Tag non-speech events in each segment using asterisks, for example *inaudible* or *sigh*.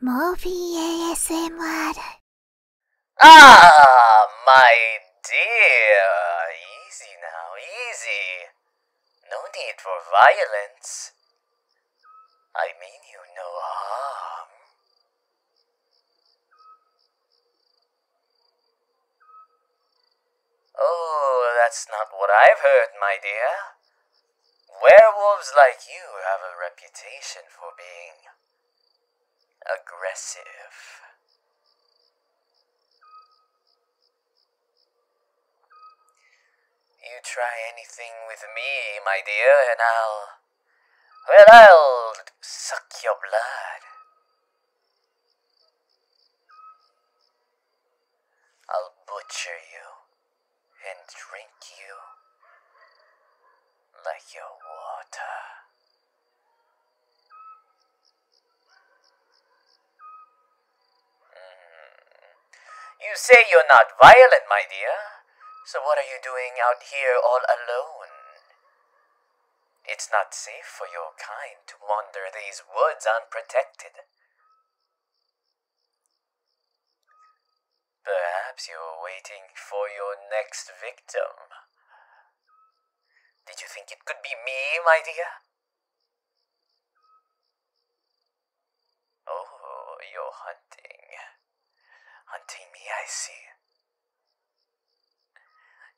Morphe ASMR. Ah, my dear. Easy now, easy. No need for violence. I mean you no harm. Oh, that's not what I've heard, my dear. Werewolves like you have a reputation for being aggressive. You try anything with me, my dear, and I'll. Well, I'll suck your blood. I'll butcher you and drink you like your water. Hmm. You say you're not violent, my dear. So what are you doing out here all alone? It's not safe for your kind to wander these woods unprotected. Perhaps you are waiting for your next victim. Did you think it could be me, my dear? Oh, you're hunting. Hunting me, I see.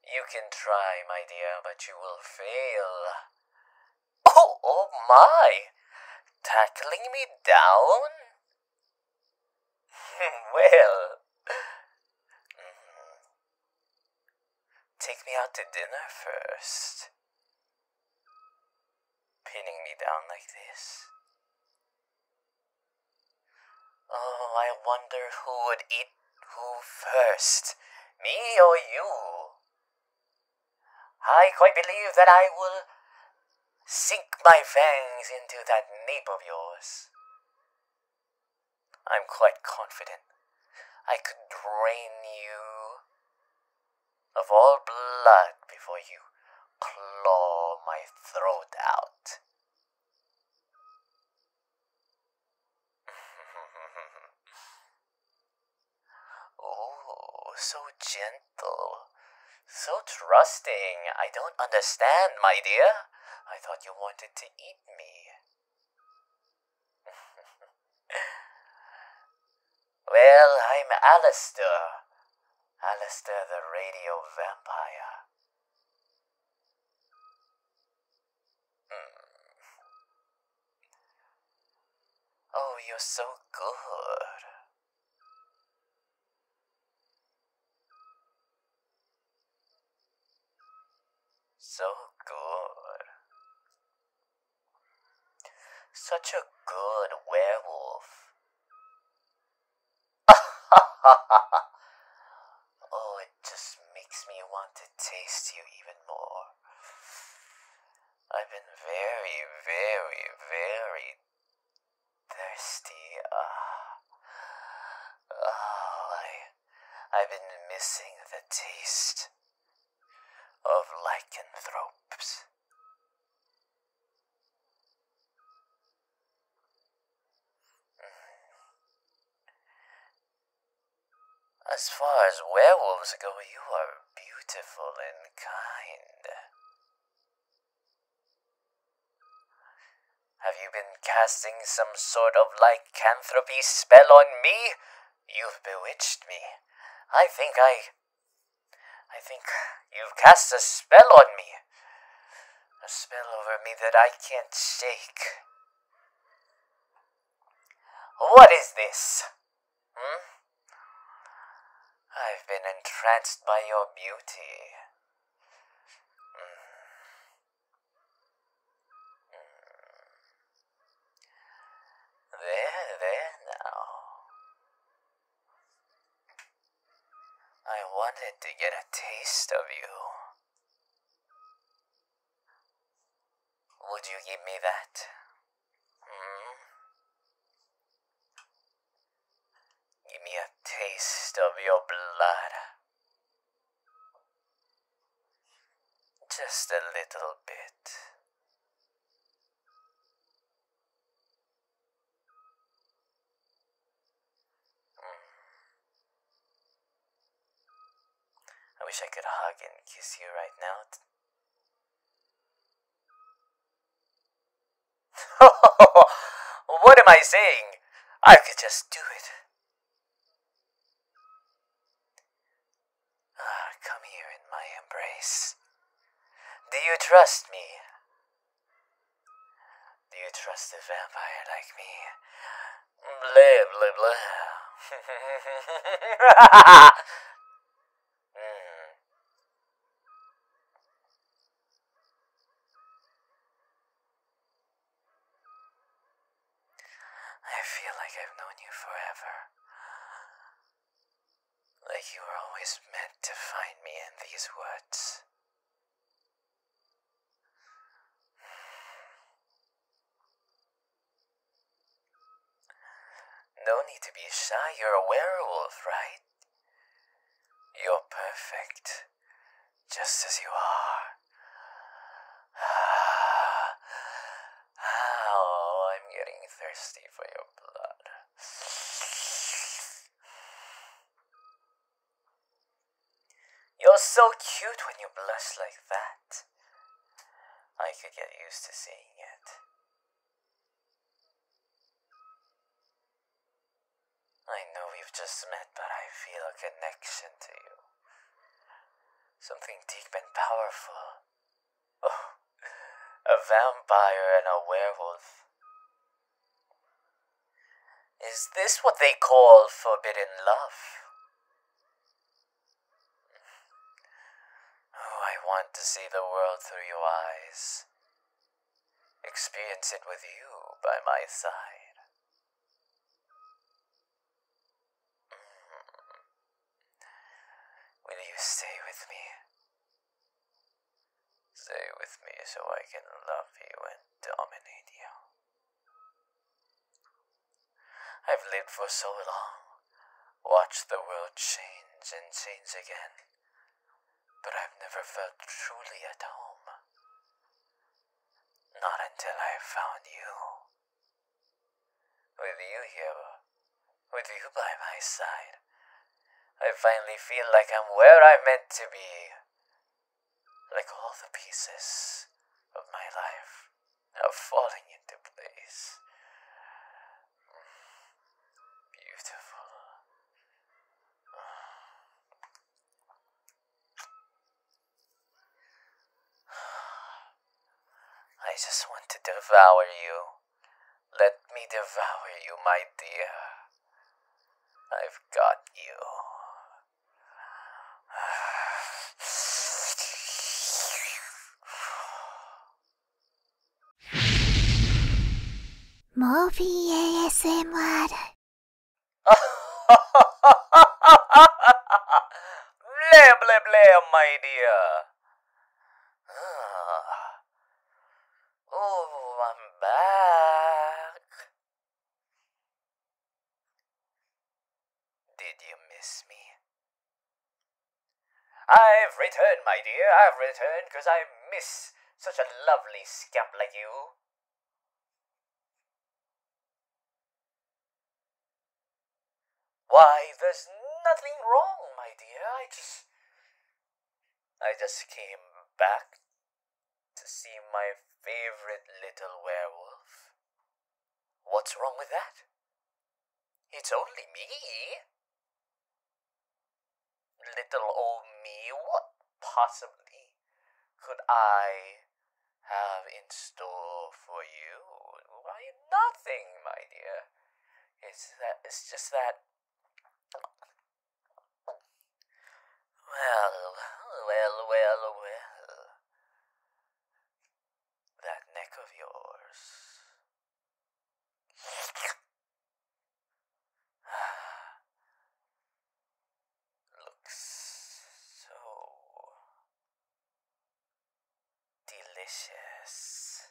You can try, my dear, but you will fail. Oh, oh my! Tackling me down? *laughs* well, mm-hmm. take me out to dinner first. Pinning me down like this. Oh, I wonder who would eat who first, me or you? I quite believe that I will sink my fangs into that nape of yours. I'm quite confident I could drain you of all blood before you claw my throat out. *laughs* Oh, so gentle. So trusting. I don't understand, my dear. I thought you wanted to eat me. *laughs* well, I'm Alastor, Alastor the radio vampire. Hmm. Oh, you're so good. So good. Such a good werewolf. *laughs* oh, it just makes me want to taste you even more. I've been very, very, very thirsty. Ah. Oh, I, I've been missing the taste of lycanthropes. Mm. As far as werewolves go, you are beautiful and kind. Have you been casting some sort of lycanthropy spell on me? You've bewitched me. I think I... I think you've cast a spell on me. A spell over me that I can't shake. What is this? Hmm? I've been entranced by your beauty. Mm. Mm. There, there now. I wanted to get a taste of you. Would you give me that? Mm-hmm. Give me a taste of your blood. Just a little bit. Mm. I wish I could hug and kiss you right now. *laughs* what am I saying? I could just do it. Ah, come here in my embrace. Do you trust me? Do you trust a vampire like me? Blah, blah, blah. *laughs* I feel like I've known you forever. Like you were always meant to find me in these woods. No need to be shy, you're a werewolf, right? You're perfect, just as you are. *sighs* oh, I'm getting thirsty for your blood. You're so cute when you blush like that. I could get used to seeing it. I know we've just met, but I feel a connection to you. Something deep and powerful. Oh, a vampire and a werewolf. Is this what they call forbidden love? Oh, I want to see the world through your eyes. Experience it with you by my side. Mm. Will you stay with me? Stay with me so I can love you and dominate you. I've lived for so long Watch the world change and change again, but I've never felt truly at home. Not until I found you. With you here, with you by my side, I finally feel like I'm where I'm meant to be. Like all the pieces of my life are falling into place. Beautiful. I just want to devour you. Let me devour you, my dear. I've got you. *sighs* *sighs* モーフィー ASMR。Blah, blah, blah, my dear. *sighs* Oh, I'm back. Did you miss me? I've returned, my dear, I've returned, because I miss such a lovely scamp like you. Why, there's nothing wrong, my dear. I just. I just came back to see my favorite little werewolf. What's wrong with that? It's only me. Little old me, what possibly could I have in store for you? Why, nothing, my dear. It's that, it's just that. Well, well, well, well. That neck of yours. *sighs* Looks so delicious.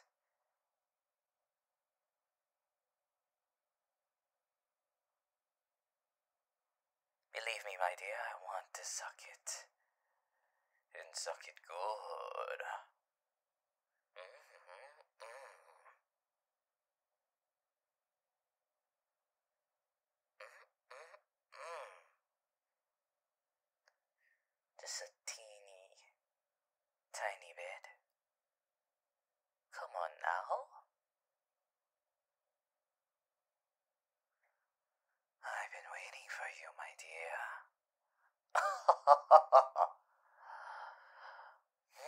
Believe me, my dear, I want to suck it. And suck it good. Just mm-hmm. mm-hmm. mm-hmm. a teeny tiny bit. Come on now. I've been waiting for you, my dear. *laughs*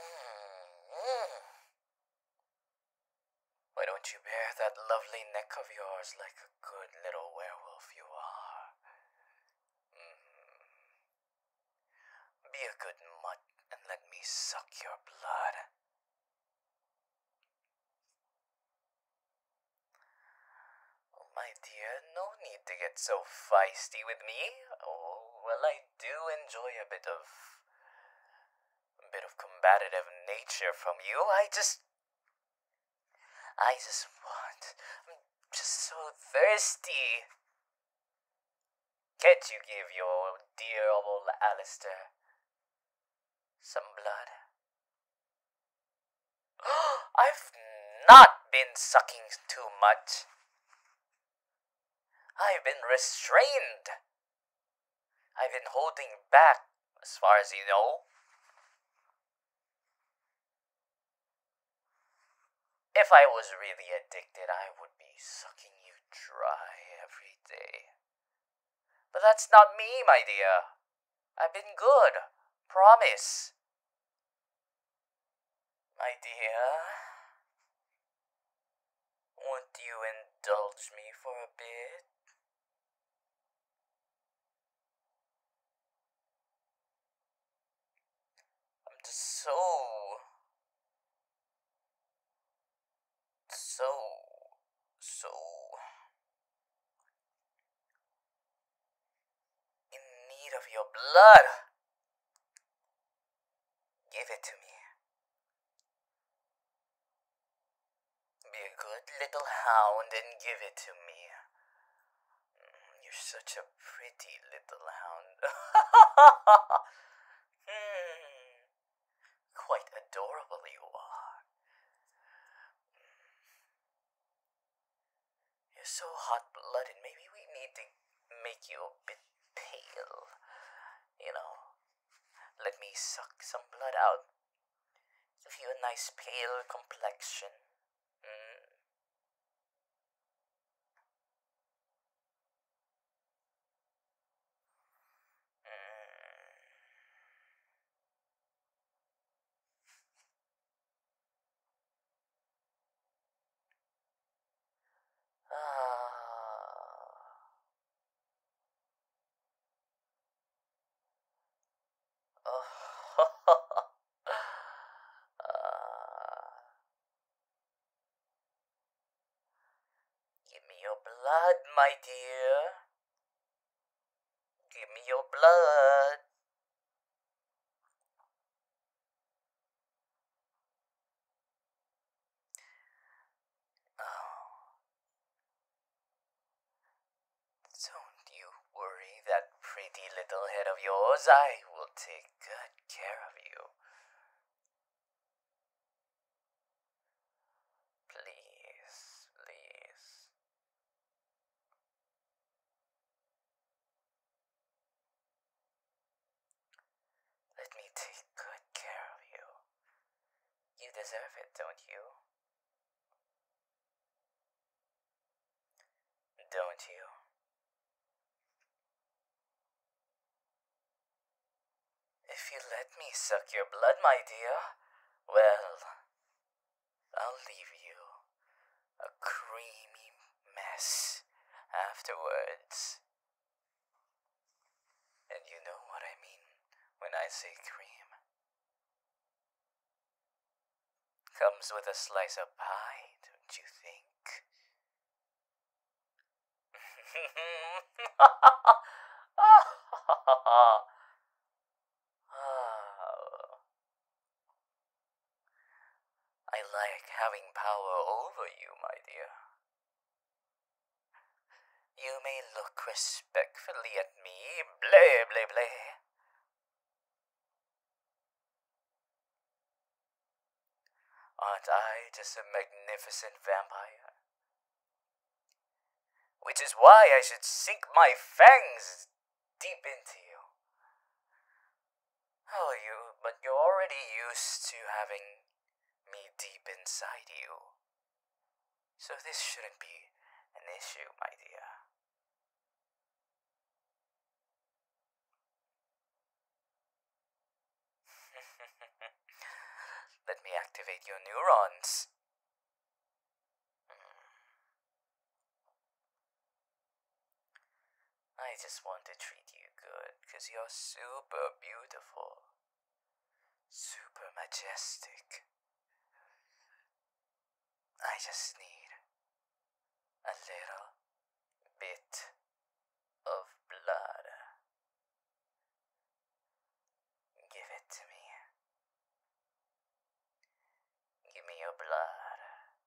Why don't you bare that lovely neck of yours like a good little werewolf you are? Mm-hmm. Be a good mutt and let me suck your blood. Oh, my dear, no need to get so feisty with me. Oh, well, I do enjoy a bit of. a bit of combative nature from you. I just. I just want. I'm just so thirsty. Can't you give your dear old Alister some blood? *gasps* I've not been sucking too much. I've been restrained. I've been holding back, as far as you know. If I was really addicted, I would be sucking you dry every day. But that's not me, my dear. I've been good. Promise. My dear, won't you indulge me for a bit? I'm just so, so, so in need of your blood. Give it to me. Be a good little hound and give it to me. Mm, you're such a pretty little hound. *laughs* hmm. Quite adorable you are. You're so hot blooded, maybe we need to make you a bit pale. You know, let me suck some blood out. Give you a nice pale complexion. Mm. mm. *laughs* Give me your blood, my dear. Give me your blood. Don't you worry, that pretty little head of yours. I will take good care of you. Please, please. Let me take good care of you. You deserve it, don't you? Don't you? If you let me suck your blood, my dear, well, I'll leave you a creamy mess afterwards. And you know what I mean when I say cream. Comes with a slice of pie, don't you think? *laughs* Ah. I like having power over you, my dear. You may look respectfully at me, bleh bleh bleh. Aren't I just a magnificent vampire? Which is why I should sink my fangs deep into you. Hell, you, but you're already used to having me deep inside you. So this shouldn't be an issue, my dear. *laughs* Let me activate your neurons. Hmm. I just want to treat you good because you're super beautiful. Super majestic. I just need a little bit of blood. Give it to me. Give me your blood.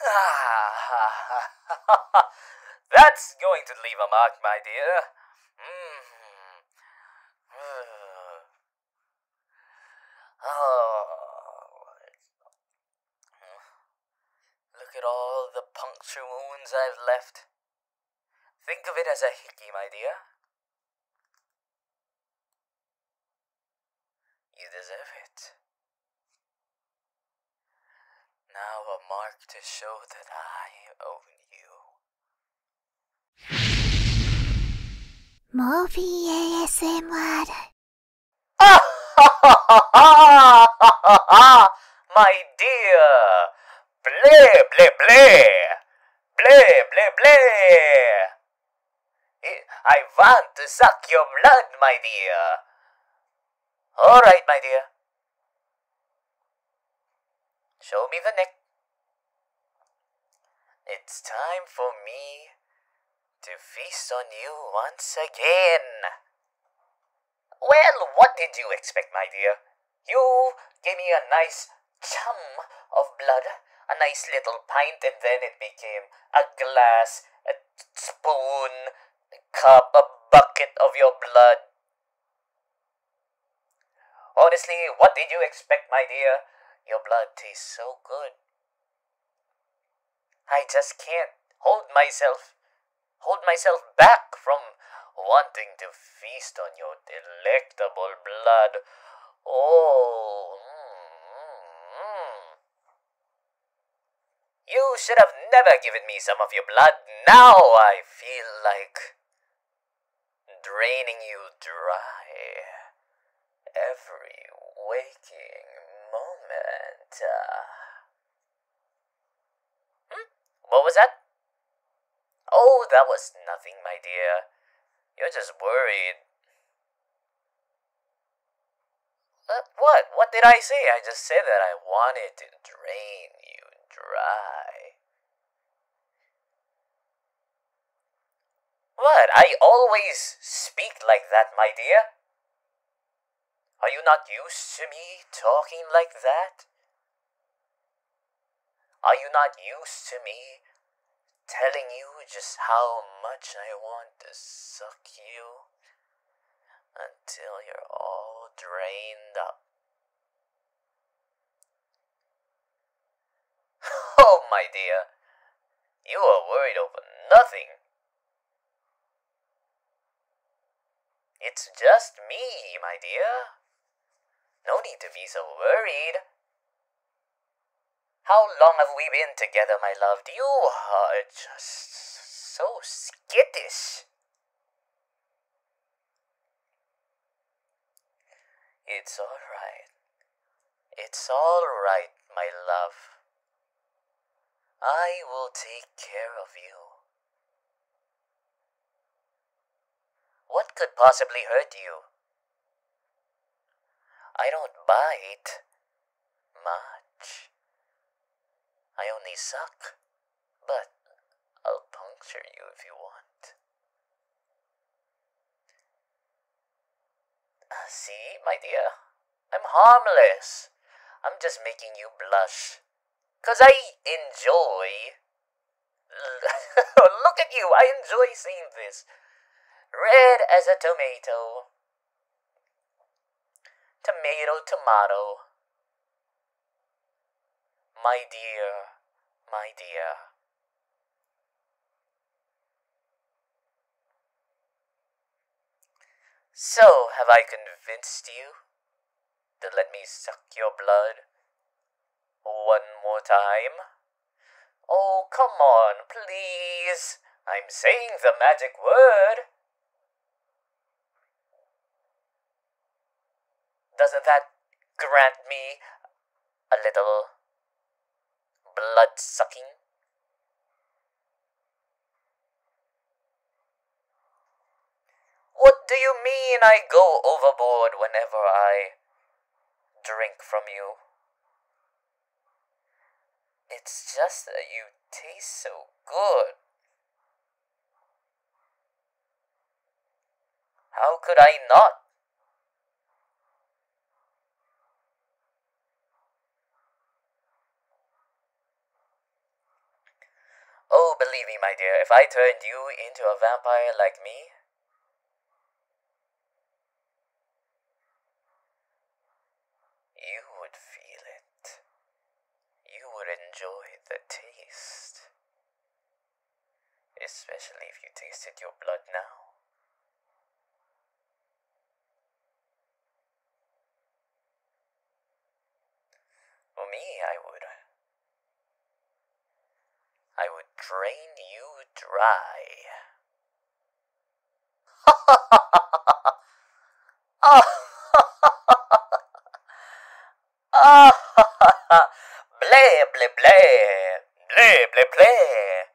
Ah, *laughs* that's going to leave a mark, my dear. Mm -hmm. *sighs* Oh. Look at all the puncture wounds I've left. Think of it as a hickey, my dear. You deserve it. Now a mark to show that I owe you. Morphe ASMR. *laughs* My dear! Bleh, bleh, bleh! Bleh, bleh, bleh! Eh, I want to suck your blood, my dear. All right, my dear. Show me the neck. It's time for me to feast on you once again. Well, what did you expect, my dear? You gave me a nice chum of blood, a nice little pint, and then it became a glass, spoon, cup, a bucket of your blood. Honestly, what did you expect, my dear? Your blood tastes so good. I just can't hold myself, hold myself back from wanting to feast on your delectable blood. Oh, mm, mm, mm. You should have never given me some of your blood. Now I feel like draining you dry every waking moment. Hmm? What was that? Oh, that was nothing, my dear. You're just worried what? What did I say? I just said that I wanted to drain you dry. What? I always speak like that, my dear. Are you not used to me talking like that? Are you not used to me telling you just how much I want to suck you until you're all drained up. *laughs* Oh, my dear, you are worried over nothing. It's just me, my dear. No need to be so worried. How long have we been together, my love? You are uh, just so skittish. It's alright. It's alright, my love. I will take care of you. What could possibly hurt you? I don't bite much. I only suck, but I'll puncture you if you want. Ah, see, my dear, I'm harmless. I'm just making you blush, 'cause I enjoy. *laughs* Look at you, I enjoy seeing this. Red as a tomato, Tomato, tomato. My dear, my dear. So, have I convinced you to let me suck your blood one more time? Oh, come on, please. I'm saying the magic word. Doesn't that grant me a little blood sucking? What do you mean I go overboard whenever I drink from you? It's just that you taste so good. How could I not? Oh, believe me, my dear, if I turned you into a vampire like me, you would feel it. You would enjoy the taste. Especially if you tasted your blood now. For me, I would. I would drain you dry bleh, *laughs*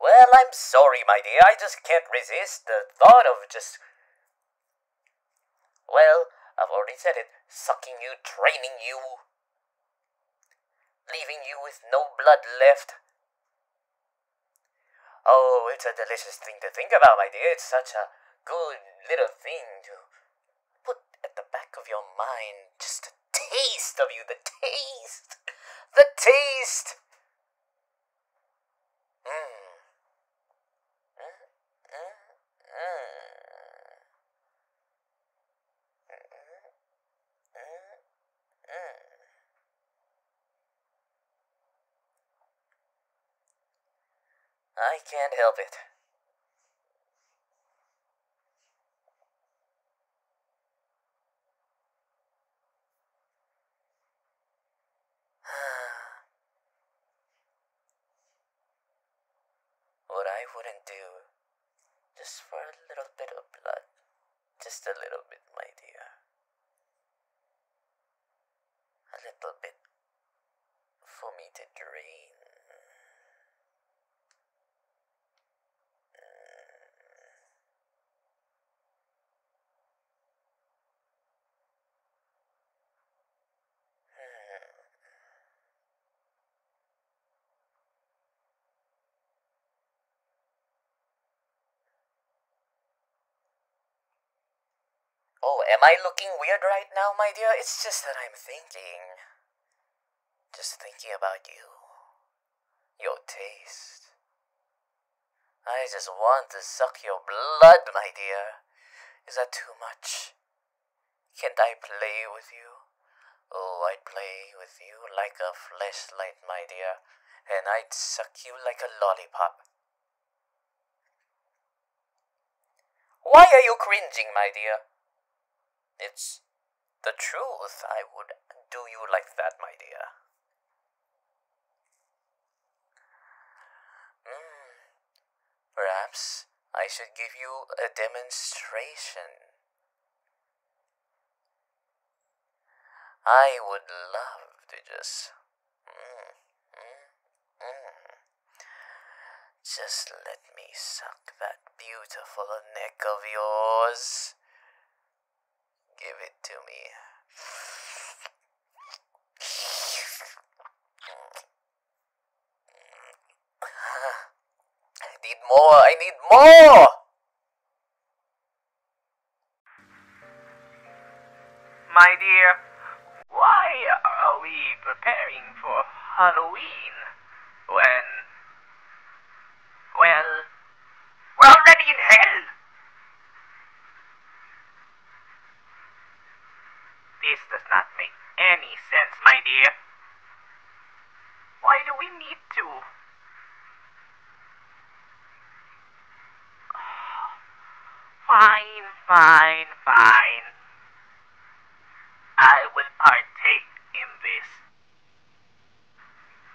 Well, I'm sorry, my dear. I just can't resist the thought of just. Well, I've already said it. Sucking you, training you, leaving you with no blood left. Oh, it's a delicious thing to think about, my dear. It's such a good little thing to put at the back of your mind. Just a taste of you, the taste, the taste. Mmm. Mm, mm, mm. mm. I can't help it. *sighs* what I wouldn't do just for a little bit of blood. Just a little bit, my dear. A little bit for me to drain. Oh, am I looking weird right now, my dear? It's just that I'm thinking. Just thinking about you. Your taste. I just want to suck your blood, my dear. Is that too much? Can't I play with you? Oh, I'd play with you like a flashlight, my dear, and I'd suck you like a lollipop. Why are you cringing, my dear? It's the truth. I would do you like that, my dear. Hmm, perhaps I should give you a demonstration. I would love to just. Just let me suck that beautiful neck of yours. Give it to me. I need more! I need more! My dear, why are we preparing for Halloween when... Well... We're already in hell! This does not make any sense, my dear. Why do we need fine, fine, fine. I will partake in this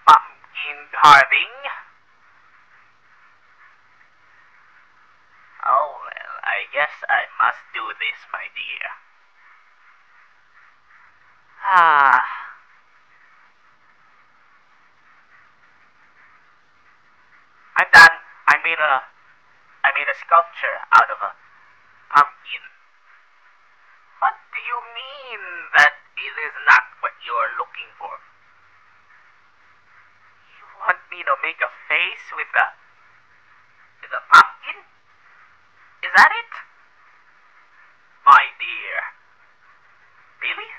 pumpkin carving. Oh well, I guess I must do this, my dear. Ah. i made a, I made a sculpture out of a pumpkin. What do you mean that it is not what you're looking for? You want me to make a face with a, with a pumpkin? Is that it? My dear. Really?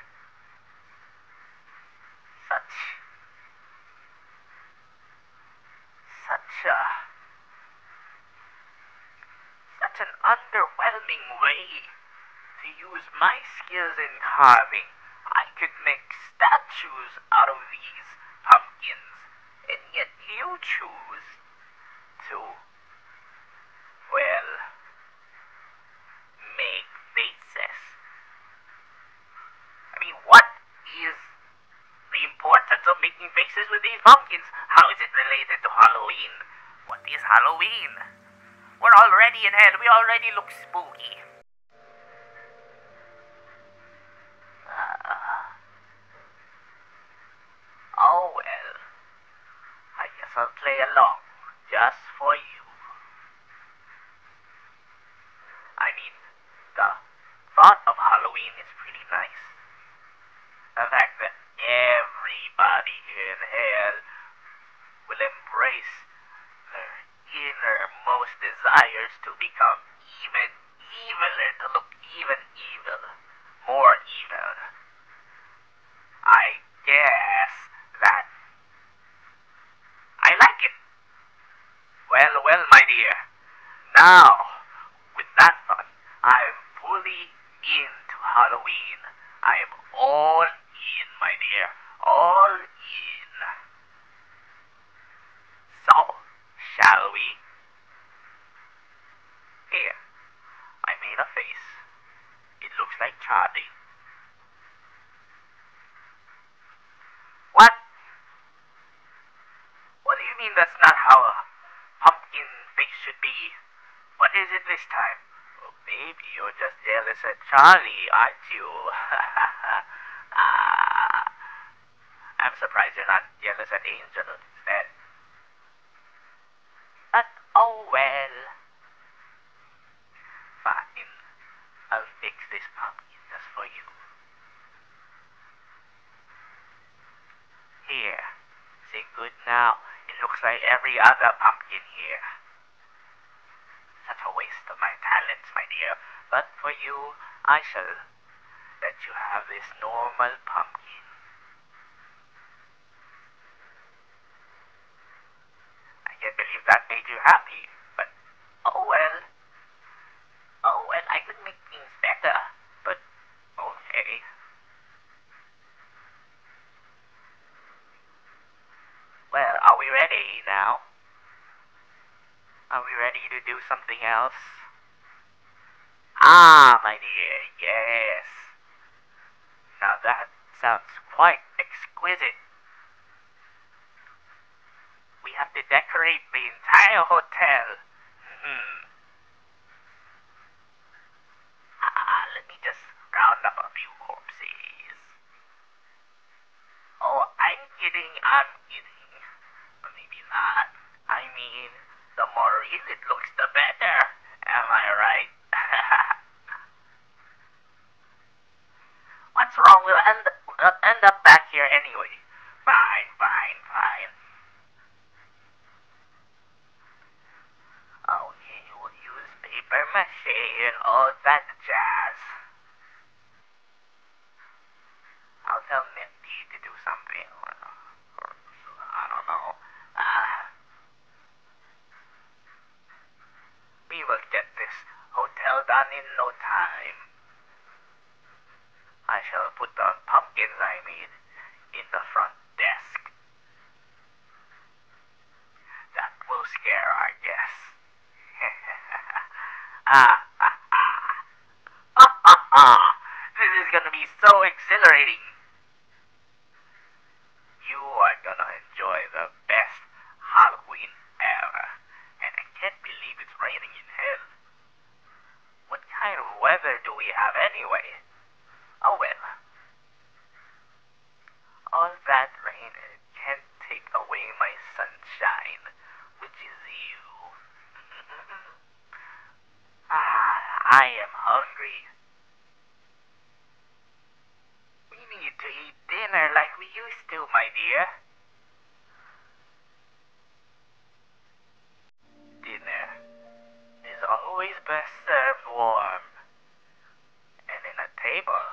Such... Such a... Such an underwhelming way to use my skills in carving. I could make statues out of these pumpkins, and yet you choose to well, make faces. I mean, what is the importance of making faces with these pumpkins? How is it related to Halloween? What is Halloween? We're already in hell. We already look spooky. Ah. Oh well, I guess I'll play along just for you. I mean, the thought of Halloween is pretty nice. The fact that everybody in hell will embrace their innermost desires to become even eviler, to look even evil, more evil. I guess that... I like it. Well, well, my dear. Now, with that thought, I'm fully into Halloween. I am all in, my dear. All in. So, shall we? Here, I made a face. It looks like Charlie. What? What do you mean that's not how a pumpkin face should be? What is it this time? maybe oh, you're just jealous at Charlie, aren't you? *laughs* Ah. I'm surprised you're not jealous at Angel instead. But oh well. Fine. I'll fix this pumpkin just for you. Here. Say good now. It looks like every other pumpkin here. Such a waste of my talents, my dear. But for you, I shall let you have this normal pumpkin. I can't believe that made you happy, but oh well. Oh well, I could make things better, but okay. Well, are we ready now? Are we ready to do something else? Ah, my dear, yes. Now that sounds quite exquisite. We have to decorate the entire hotel. Hmm. Ah, let me just round up a few corpses. Oh, I'm kidding, I'm kidding. Maybe not. I mean, the more it looks, the better. Am I right? *laughs* What's wrong? We'll end, end up back here anyway. Fine, fine, fine. Okay, oh, we use paper mache all that jazz. I'll tell Nifty to do something. I don't know. *sighs* we will get this hotel done in no time. I shall put the pumpkins I made in the front desk. That will scare our guests. *laughs* Ah, ah, ah. *laughs* This is gonna be so exhilarating. You are gonna enjoy the best Halloween ever. And I can't believe it's raining in hell. What kind of weather do we have anyway? Oh well. All that rain can't take away my sunshine, which is you. *laughs* Ah, I am hungry. We need to eat dinner like we used to, my dear. Dinner is always best served warm. And in a table,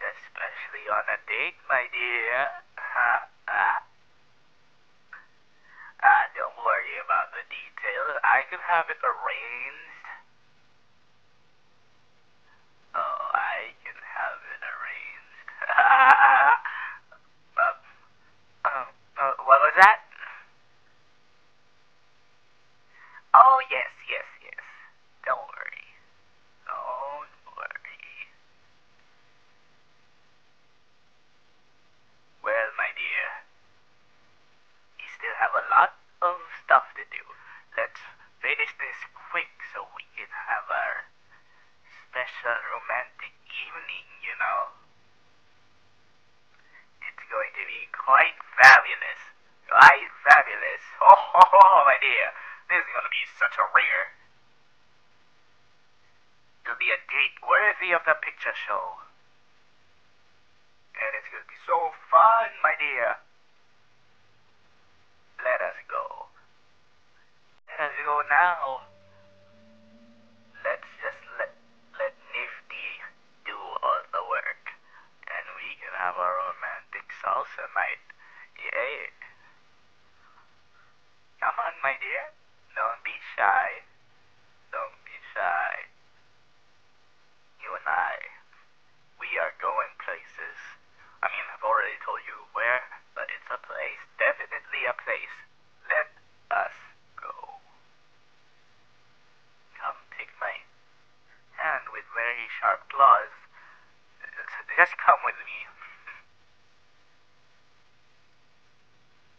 especially on a date, my dear. Uh, don't worry about the details. I can have it arranged. Oh, I can have it arranged. *laughs* Um, um, uh, what was that? Oh, yes, yes, yes. Don't worry. Don't worry. Well, my dear, we still have a lot of stuff to do. Let's finish this quick so we can have our special romantic evening, you know. It's going to be quite fabulous. Quite fabulous. *laughs* Oh, my dear. This is going to be such a ringer to be a date worthy of the picture show. And it's going to be so fun, my dear. Let us go. Let us go now. Let's just let, let Nifty do all the work. And we can have our romantic salsa night. Yeah, Come on, my dear. Don't be shy. Don't be shy. You and I, we are going places. I mean, I've already told you where, but it's a place, definitely a place. Let us go. Come take my hand with very sharp claws. Just come with me. *laughs*